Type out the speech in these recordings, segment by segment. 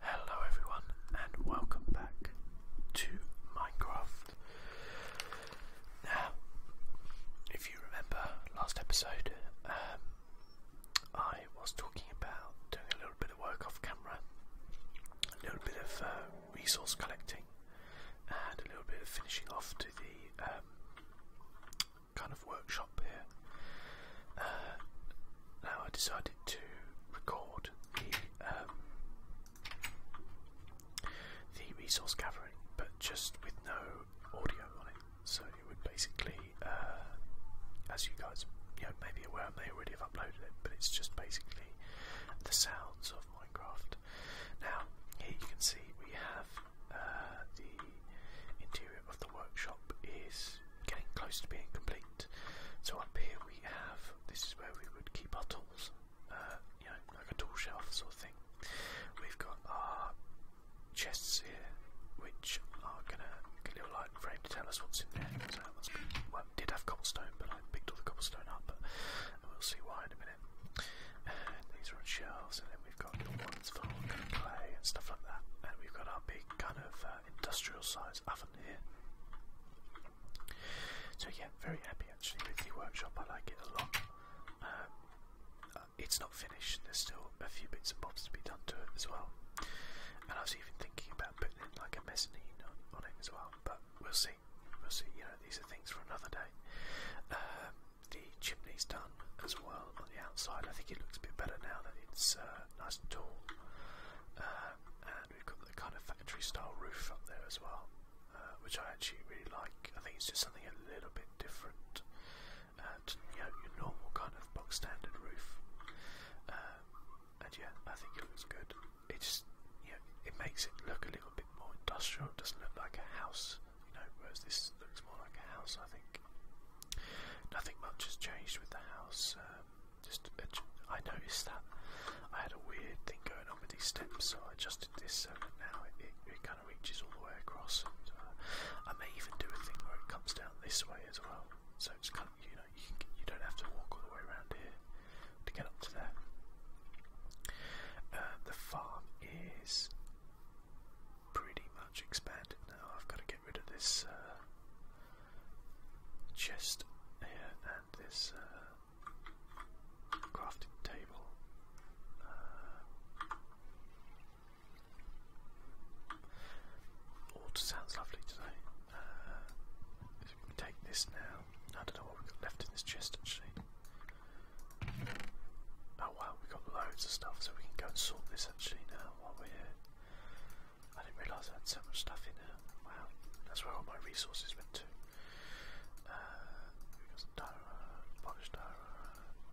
Hello everyone and welcome back to Minecraft. Now, if you remember last episode, um, I was talking about doing a little bit of work off camera, a little bit of uh, resource collecting, and a little bit of finishing off to the um, kind of workshop here. Uh, now I decided to record the um, the resource gathering, but just with no audio on it. So it would basically, uh, as you guys you know, may be aware, I may already have uploaded it, but it's just basically the sounds of Minecraft. Now here you can see we have uh, the interior of the workshop is getting close to being complete. So up here we have this is where we would keep our tools, uh, you know, like a tool shelf sort of thing. We've got our chests here, which are gonna get a little light frame to tell us what's in there. So that must be well, did have cobblestone, but I picked all the cobblestone up, we'll see why in a minute. And these are on shelves, and then we've got little ones for clay and stuff like that. And we've got our big kind of uh, uh, industrial size oven here. So yeah, very happy actually with the workshop. I like it a lot. Um, uh, it's not finished. There's still a few bits and bobs to be done to it as well. And I was even thinking about putting in like a mezzanine on, on it as well. But we'll see. We'll see. You know, these are things for another day. Uh, the chimney's done as well on the outside. I think it looks a bit better now that it's nice and tall. Um, and we've got the kind of factory style roof up there as well, uh, which I actually really like. I think it's just something a little bit different uh, to you know, your normal kind of box standard roof. Um, and yeah, I think it looks good. It just you know, it makes it look a little bit more industrial. It doesn't look like a house, you know, whereas this looks more like a house. I think nothing much has changed with the house. Uh, just uh, I noticed that I had a weird thing going on with these steps, so I adjusted this so that now it, kind of reaches all the way across. Uh, I may even do a thing where it comes down this way as well, so it's kind of you know you, don't have to walk all the way around here to get up to there. Uh, the farm is pretty much expanded now. I've got to get rid of this uh, chest and this uh, crafting table. Water uh, sounds lovely today. take this now, I don't know what we've got left in this chest actually. Oh wow, we've got loads of stuff, so we can go and sort this actually now while we're here. I didn't realise I had so much stuff in here. Wow, that's where all my resources went to. Uh,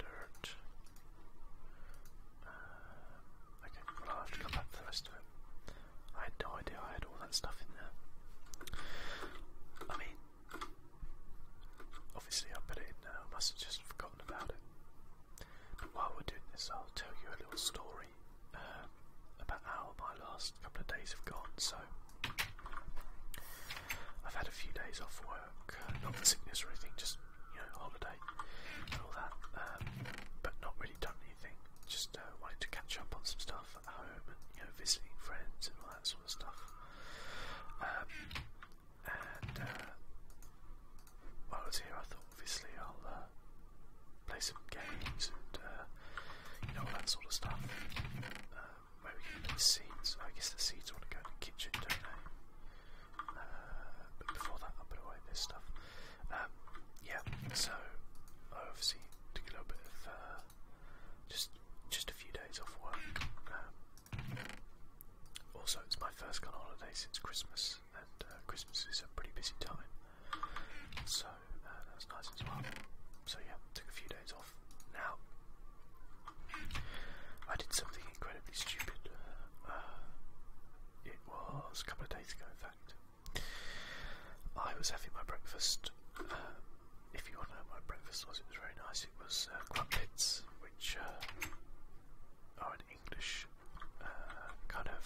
dirt. Uh, I'll have to the rest of it. I had no idea I had all that stuff in there. I mean, obviously I put it in I must have just forgotten about it while we're doing this, I'll tell you a little story uh, about how my last couple of days have gone. So, I've had a few days off work, not not sickness or anything, just you know, holiday and all that, um, but not really done anything. Just uh, wanted to catch up on some stuff at home and you know, visiting friends and all that sort of stuff. Um, and uh, while I was here, I thought obviously I'll uh, play some games and uh, you know all that sort of stuff. Um, where we can put the seeds. I guess the seeds want to go in the kitchen, don't they? Uh, but before that, I'll put away this stuff. Um, yeah, so I obviously took a little bit of uh, just just a few days off work. Um, also, it's my first kind of holiday since Christmas, and uh, Christmas is a pretty busy time, so uh, that was nice as well. So yeah, took a few days off. Now, I did something incredibly stupid. Uh, it was a couple of days ago, in fact. I was having my breakfast. Um, if you want to know what my breakfast was, it was very nice. It was uh, crumpets, which uh, are in English uh, kind of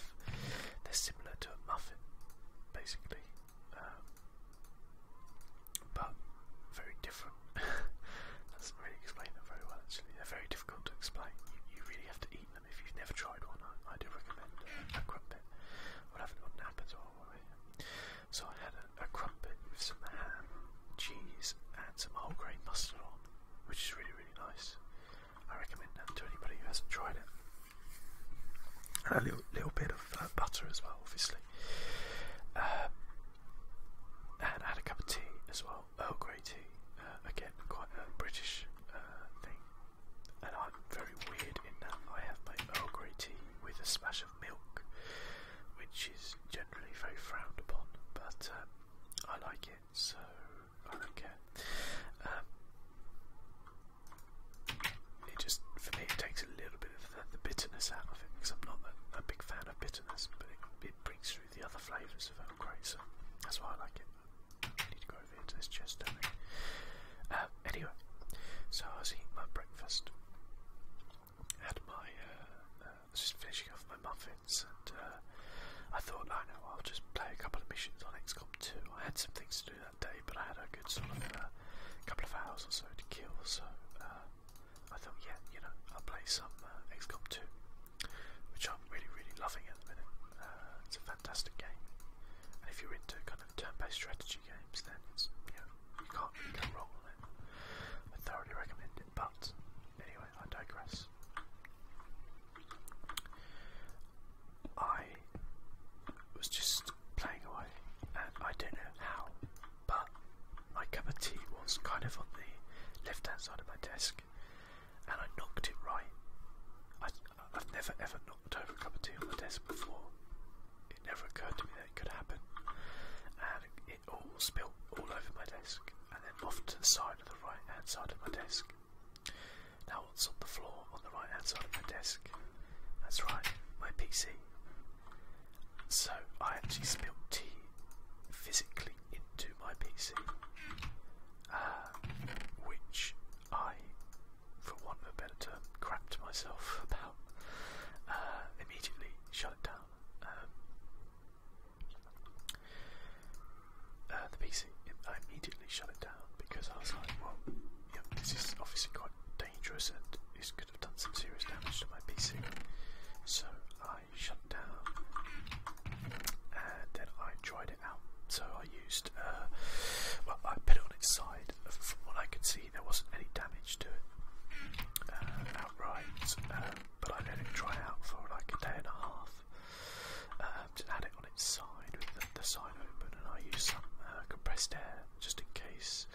they're similar to a muffin, basically, um, but very different. that doesn't really explain them very well. Actually, they're very difficult to explain. You, really have to eat them if you've never tried one. I, do recommend a crumpet. Well, I haven't got an app as So I had a, a crumpet with some ham, cheese, and some whole grain mustard on, which is really really nice. I recommend that to anybody who hasn't tried it. a little, little bit of uh, butter as well, obviously. Uh, and I a cup of tea as well, Earl Grey tea. Uh, again, quite a British thing. And I'm very weird in that I have my Earl Grey tea with a splash of milk, which is generally very frowned upon, but I like it, so I don't care. it just, for me, it takes a little bit of the, bitterness out of it because I'm not a, big fan of bitterness, but it, brings through the other flavours of Earl great. so that's why I like it. I need to go over here this chest, uh, anyway, so I was eating my breakfast, had my, uh, uh, I was just finishing off my muffins, and I thought, I know, I'll just play a couple of missions on XCOM 2. I had some things to do that day, but I had a good sort of uh, couple of hours or so to kill, so uh, I thought, yeah, you know, I'll play some uh, XCOM 2, which I'm really, really loving at the minute. Uh, it's a fantastic game, and if you're into kind of turn-based strategy games, then it's, you know, you can't really go wrong on it. I thoroughly recommend it, but anyway, I digress. I was just playing away, and I don't know how, but my cup of tea was kind of on the left hand side of my desk, and I knocked it right. I, have never ever knocked over a cup of tea on the desk before. It never occurred to me that it could happen, and it all spilled all over my desk, and then off to the side of the right hand side of my desk. Now, what's on the floor on the right hand side of my desk? That's right, my PC. So, I actually spilled tea physically into my PC, uh, which I, for want of a better term, crapped myself about. Uh, immediately shut it down. Um, uh, the PC I immediately shut it down because I was like, well, yeah, this is obviously quite dangerous and this could have done some serious damage to my PC. So I shut down and then I tried it out. So I used, uh, well, I put it on its side. From what I could see, there wasn't any damage to it uh, outright, um, but I let it dry out for like a day and a half uh, um, to it on its side with the, side open, and I used some uh, compressed air just in case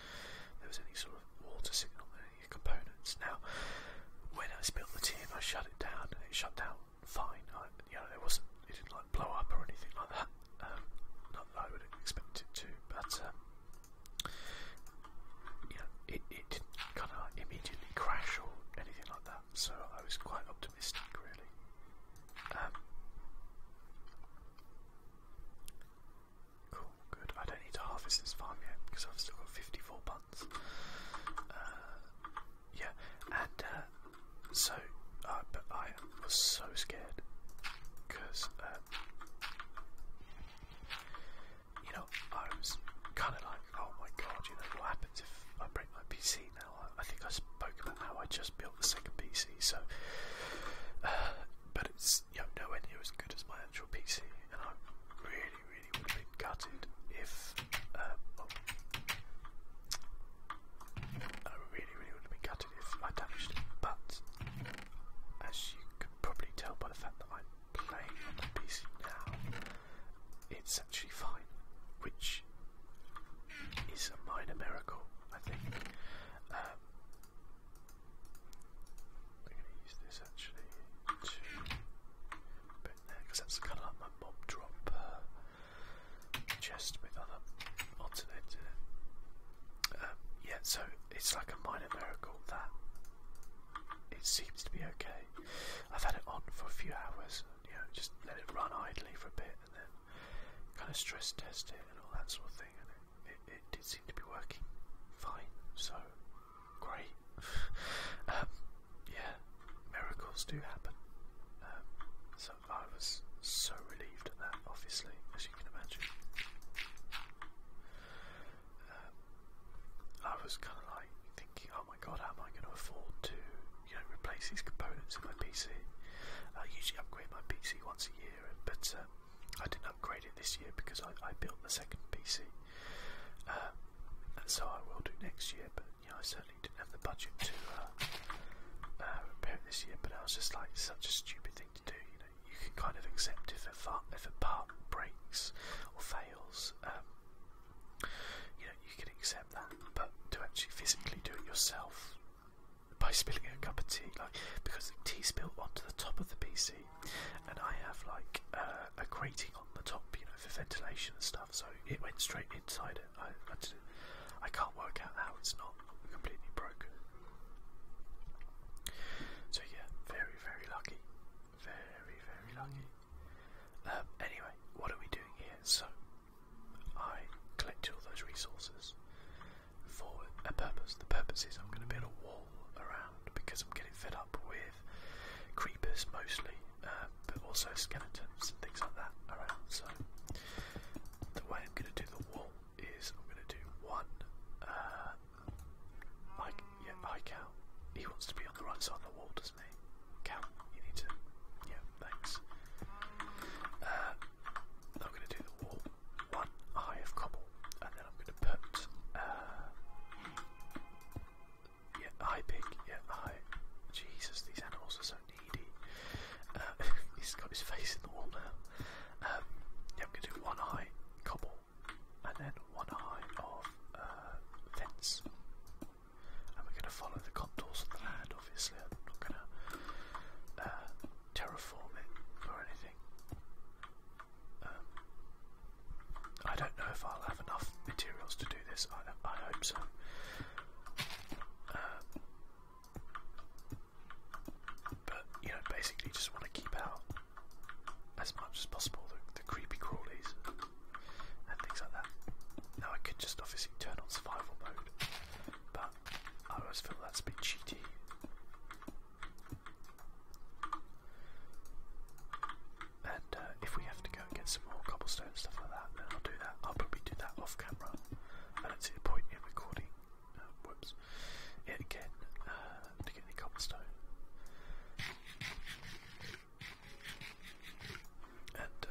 there was any sort of water signal in any components. Now, when I spilled the tea and I shut it down, it shut down fine. you know, it wasn't, it didn't like blow up or anything like that. Um, not that I would expect it to, but um, you know, it, it didn't kind of immediately crash or anything like that. So I was quite optimistic, really. Um, cool, good. I don't need to harvest this farm yet because I've still got 54 buns. Uh, yeah, and uh, so, uh, but I was so scared because, you know, I was kind of like, oh my god, you know, what happens if I break my PC I, think I spoke about how I just built the second PC, so. Uh, but it's you know, nowhere near as good as my actual PC, and uh, I really, really would have been gutted if. I really, really would have gutted if I damaged it, but as you can probably tell by the fact that I'm playing on the PC now, it's actually fine, which it's a minor miracle, I think. I'm going to use this actually to put there because that's kind of like my mob drop uh, chest with other odds um, yeah, so it's like a minor miracle that it seems to be okay. I've had it on for a few hours, you just let it run idly for a bit and then kind of stress test it it and all that sort of thing, and it, it, it did seem to be working fine, so great. um, yeah, miracles do happen. Um, so I was so relieved at that, obviously, as you can imagine. Um, I was kind of like thinking, oh my god, how am I going to afford to, you know, replace these components in my PC? I usually upgrade my PC PC once a year, but um, I didn't upgrade it this year because I, I built the second PC, um, and so I will do next year. But you know, I certainly didn't have the budget to uh, uh, repair it this year. But I was just like such a stupid thing to do. You know, you can kind of accept if a if a part breaks or fails. Um, you know, you can accept that, but to actually physically do it yourself by spilling a cup of tea, like because the tea spilled onto the top of the PC, and I have like uh, a grating on the top, you know, for ventilation and stuff. So it went straight inside it. I can't work out how it's not completely broken. So yeah, very very lucky, very very lucky. Um, anyway, what are we doing here? So I collect all those resources for a purpose. The purpose is I'm going to build a wall around because I'm getting fed up with creepers mostly, uh, but also skeletons and things like that around. So the way I'm going to do the wall is I'm going to do one. Uh, like yeah, I count. He wants to be on the right side of the wall, doesn't he? Count. You need to. Yeah, thanks. Uh, I'm going to do the wall one high of cobble, and then I'm going to put uh, yeah high pig, yeah high. Jesus, these animals are so needy. Uh, he's got his face in the wall now. Um, yeah, I'm going to do one high cobble, and then one high of uh, fence, and we're going to follow the contours of the land. Obviously, I'm not going to terraform it or anything. Um, I don't know if I'll have enough materials to do this. I, I hope so. Um, but you know, basically, just want to keep out as much as possible the creepy crawlies and things like that. Now I could just obviously turn on survival mode, but Oh, I always feel that's a bit cheaty. And uh, if we have to go and get some more cobblestone and stuff like that, then I'll do that. I'll probably do that off camera. I don't see the point in recording. Uh, whoops. again uh, to get any cobblestone. And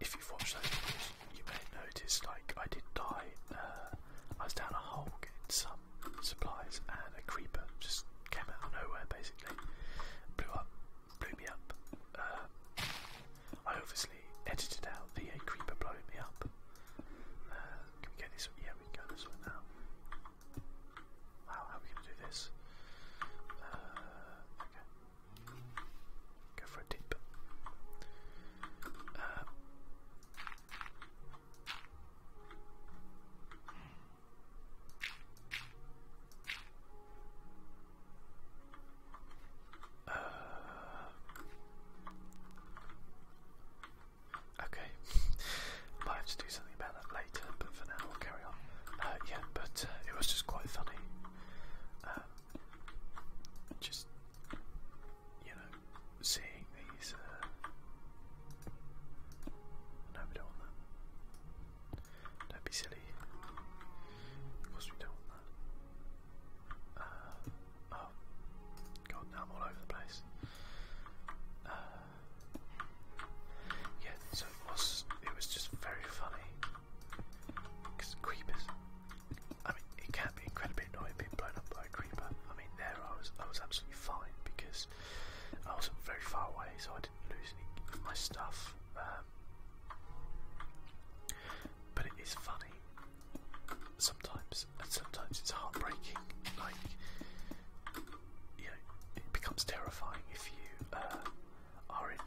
if you've watched those you may notice, like I did die, uh, I was down a hole getting some supplies and a creeper just came out of nowhere basically, blew up, blew me up. Uh, I obviously edited out the creeper blowing me up. Uh, can we get this Yeah, we can go this one now. Wow, how are we going to do this? okay. Go for a dip. Uh, uh, okay, might have to do something about that later, but for now we'll carry on. Uh, yeah, but it was just quite funny. just you know, seeing these. Uh... No, we don't want that. Don't be silly. Of course, we don't want that. Uh, oh, God, now I'm all over the place. Uh, yeah, so it was, it was just very funny. Because creepers I mean, it can be incredibly annoying being blown up by a creeper. I mean, there I was, I was absolutely fine because I wasn't very far away, so I didn't lose any of my stuff. Um, but it is funny sometimes, and sometimes it's heartbreaking. Like, you know, it becomes terrifying if you uh, are in,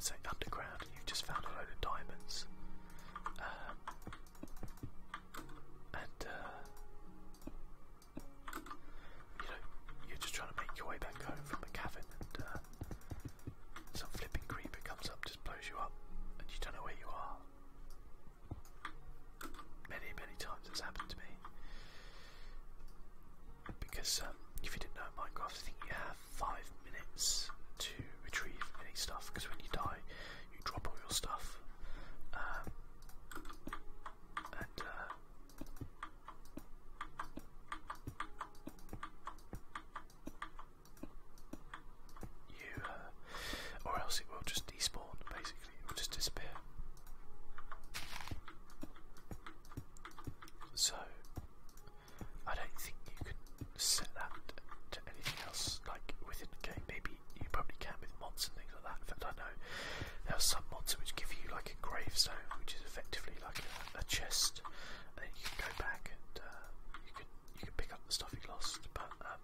say, underground and you've just found a load of diamonds. Um, and uh, you know, you're just trying to make your way back home from a cavern, and uh, some flipping creeper comes up, just blows you up, and you don't know where you are. Many, many times it's happened to me. Because um, if you didn't know Minecraft, I think you have five minutes to retrieve any stuff because when you die, you drop all your stuff. Um, and uh, uh, or else it will just despawn basically, it will just disappear. So, I don't think you can set that to anything else like within the game. Maybe you probably can with mods and things like that. In fact, I know there are some mods which give you like a gravestone, which is effectively like a, a chest, and then you can go back and uh, you can you can pick up the stuff you lost. But um,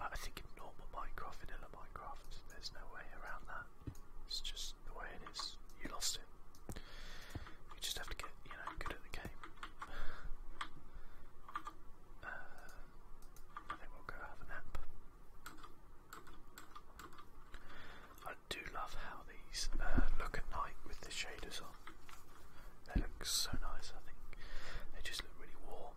I think in normal Minecraft, vanilla Minecraft, there's no way around that. It's just the way it is. You lost it. You just have to get you know, good at the game. Uh, I think we'll go have a nap. I do love how these uh, look at night with the shaders on. They look so nice, I think. They just look really warm.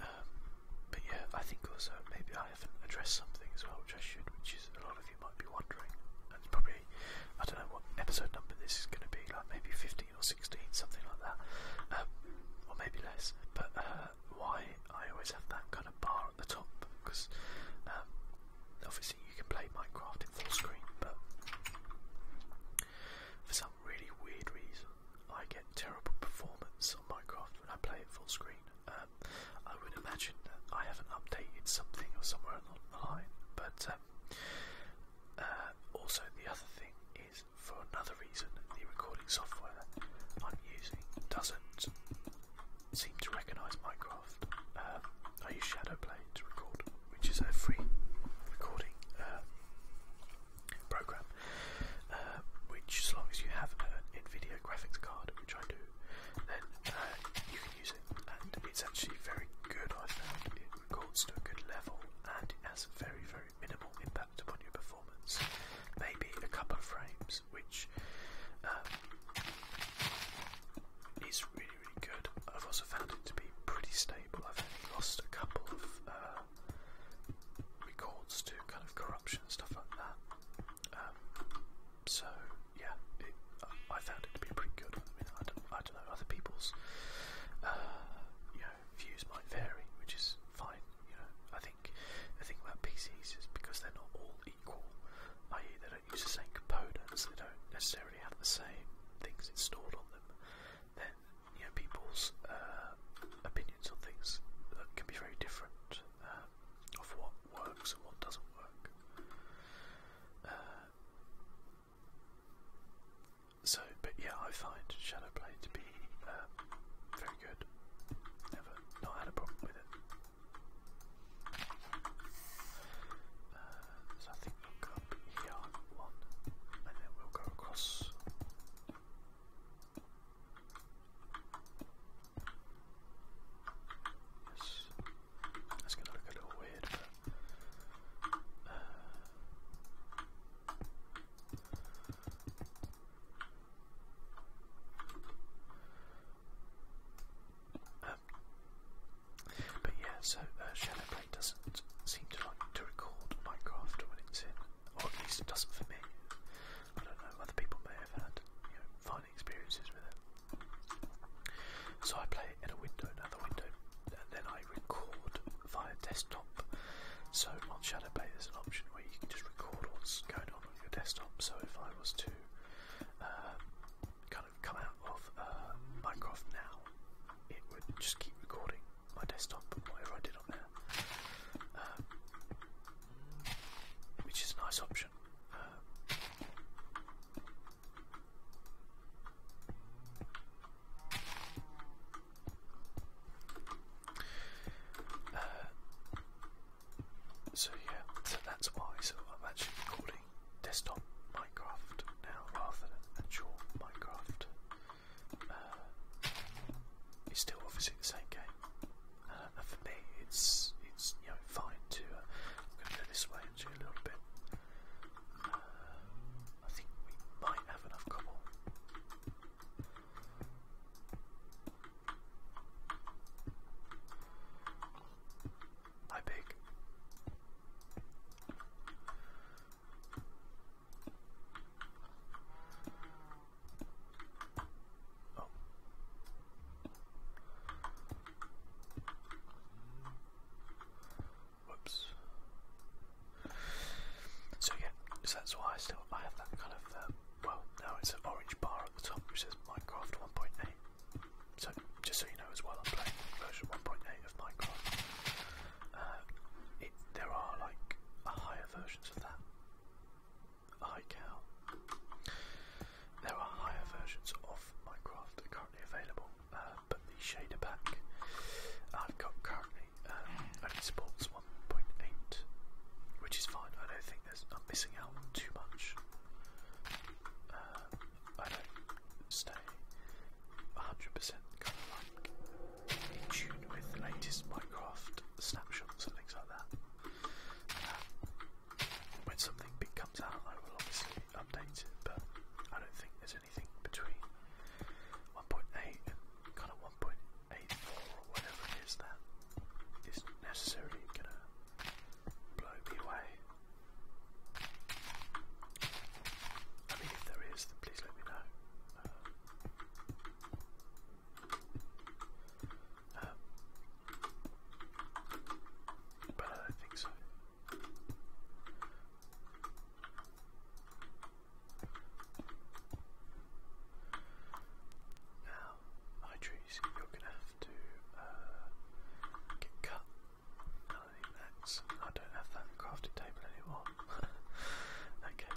Um, but yeah, I think also maybe I haven't addressed something as well, which I should, which is a lot of you might be wondering. And it's probably, I don't know what episode number this is going to be, like maybe 15 or 16, something like that, um, or maybe less. But uh, why I always have that kind of bar at the top, because um, obviously you can play Minecraft in full screen, but for some really weird reason, I get terrible performance on Minecraft when I play it full screen. Um, I would imagine that I haven't updated something or somewhere along the line, but um, uh, also the other thing is for another reason the recording software I'm using doesn't seem to recognise Minecraft. Um, I use Shadowplay to record, which is a free recording uh, program, uh, which as long as you have an NVIDIA graphics card, which I do, then uh, you can use it, and it's actually very good. I found it records to a good level, and it has very very minimal impact upon your performance. Maybe a couple of frames, which um, is really really good. I've also found it to be pretty stable. I've only lost a couple of uh, records to kind of corruption and stuff like that. Um, so yeah, it, I found it to be pretty good. I mean, I don't, I don't know other people's uh, you know views might vary, which is fine. You know, I think the thing about PCs is because they're not all equal, i.e., they don't use the same components, they don't necessarily have the same things installed on them then you know people's uh, opinions on things can be very different uh, of what works and what doesn't work. Uh, so, but yeah, I find Shadowplay to be uh, very good. Never not had a problem with it. Uh, so I think we'll go up here on one, and then we'll go across Yes. That's gonna look a little weird, but uh, um, but yeah, so uh, Shadowplay doesn't seem to like to record Minecraft when it's in or at least it doesn't for me. I don't know, other people may have had you know, fine experiences with it. So I play in a window, another window, and then I record via desktop. So on Shadow Shadowplay there's an option where you can just record what's going on on your desktop. So if I was to um, kind of come out of uh, Minecraft now, it would just keep recording my desktop, whatever I did on there, um, which is a nice option. Uh, so yeah, so that's why. So I'm actually recording desktop Minecraft now rather than actual Minecraft. Uh, it's still obviously the same game. Uh, and for me, it's it's you know fine to. Uh, I'm this way actually a little bit. Uh, I think we might have enough cobble. Hi, pig. Oh. So yeah, that's why I still I have that kind of uh, well now it's an orange bar at the top which says Minecraft 1.8. So just so you know as well, I'm playing version 1.8 of Minecraft. Uh, there are like higher versions of that iCal. There are higher versions of Minecraft that are currently available, uh, but the shader pack I've got currently um, only supports 1.8, which is fine. I don't think there's I'm missing out too much. Uh, I don't stay 100% kind of like in tune with the latest Minecraft snapshots and things like that. Um, when something big comes out, I will obviously update it, but I don't think there's anything between 1.8 and kind of 1.84 or whatever it is that is necessarily going to blow me away. I mean, if there is, then please let me know. Uh, um, but I think so. Now, my trees, you're going to have to uh, get cut. I don't have that crafted table anymore. okay.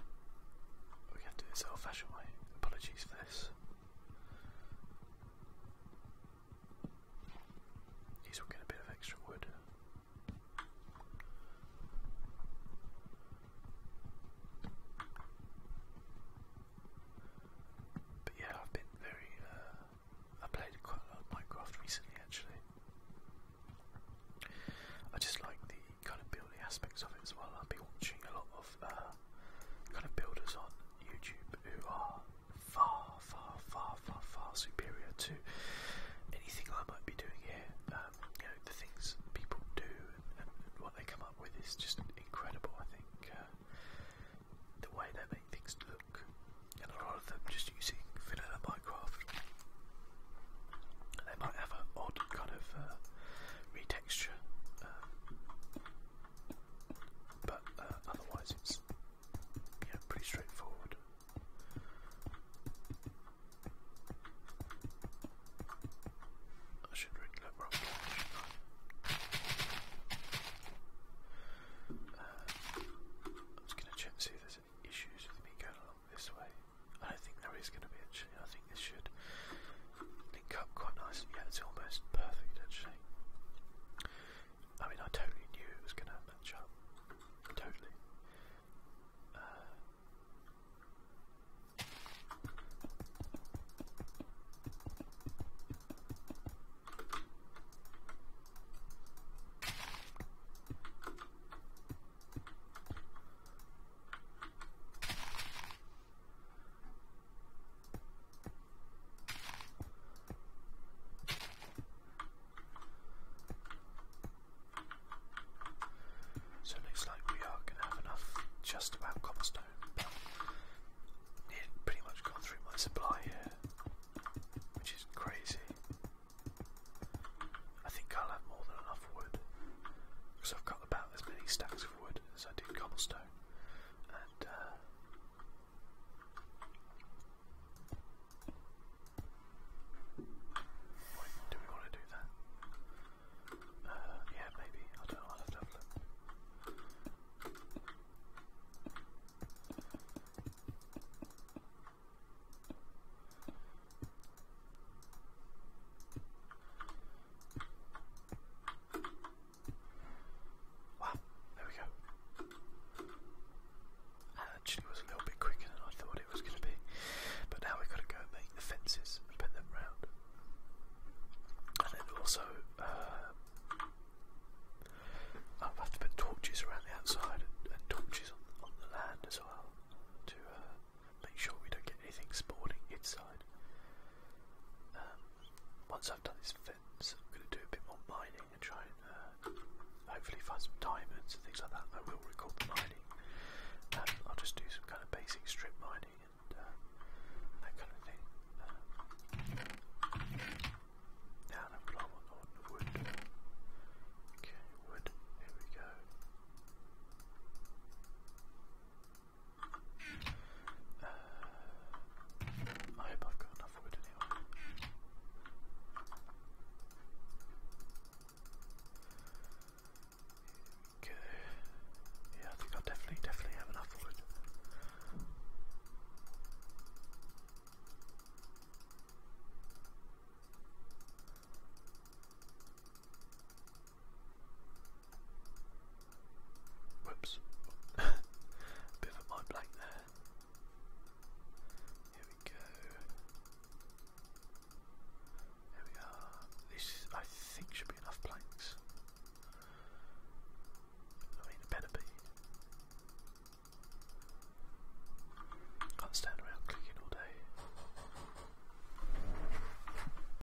We have to do this old fashioned way. Apologies for this. These will get a bit of extra wood. But yeah, I've been very. Uh, I played quite a lot of Minecraft recently, actually. I just like the kind of building aspects of it as well. I've been watching a lot of uh, kind of builders on YouTube who are far, far, far, far, far superior to anything I might be doing here. Um, you know, the things people do and, and, and what they come up with is just incredible. I think uh, the way they make things look, and a lot of them just using vanilla Minecraft. They might have an odd kind of uh, retexture, um, but uh, otherwise it's you pretty straightforward. I should really look wrong. I'm just going to check and see if there's issues with me going along this way. I don't think there is going to be I think this should link up quite nicely. Yeah, it's almost perfect actually. I mean, I totally knew it was going to match up. Totally. So it looks like we are going to have enough just about cobblestone, it pretty much gone through my supply here, which is crazy. I think I'll have more than enough wood because I've got about as many stacks of wood as I did cobblestone, uh, do we want to do that? Uh, yeah, maybe. I don't know. Wow, there we go. actually uh, was a little bit quicker than I thought it was going to be. But now we've got to go and make the fences put them round. And then also, uh, I'll have to put torches around the outside and, torches on, the land as well to uh, make sure we don't get anything spawning inside. Um, once I've done this fence, I'm going to do a bit more mining and try and uh, hopefully find some diamonds and things like that. I will record the mining. Um, I'll just do some kind of basic strip mining and uh, that kind of thing. Um, now I'm glad i wood. Okay, wood. Here we go. I have got enough wood it. Okay. Yeah, I think I definitely, definitely have enough wood. Whoops. Bit of a blank there. Here we go. There we are. This, I think, should be enough planks. I mean, it better be. Can't stand around clicking all day.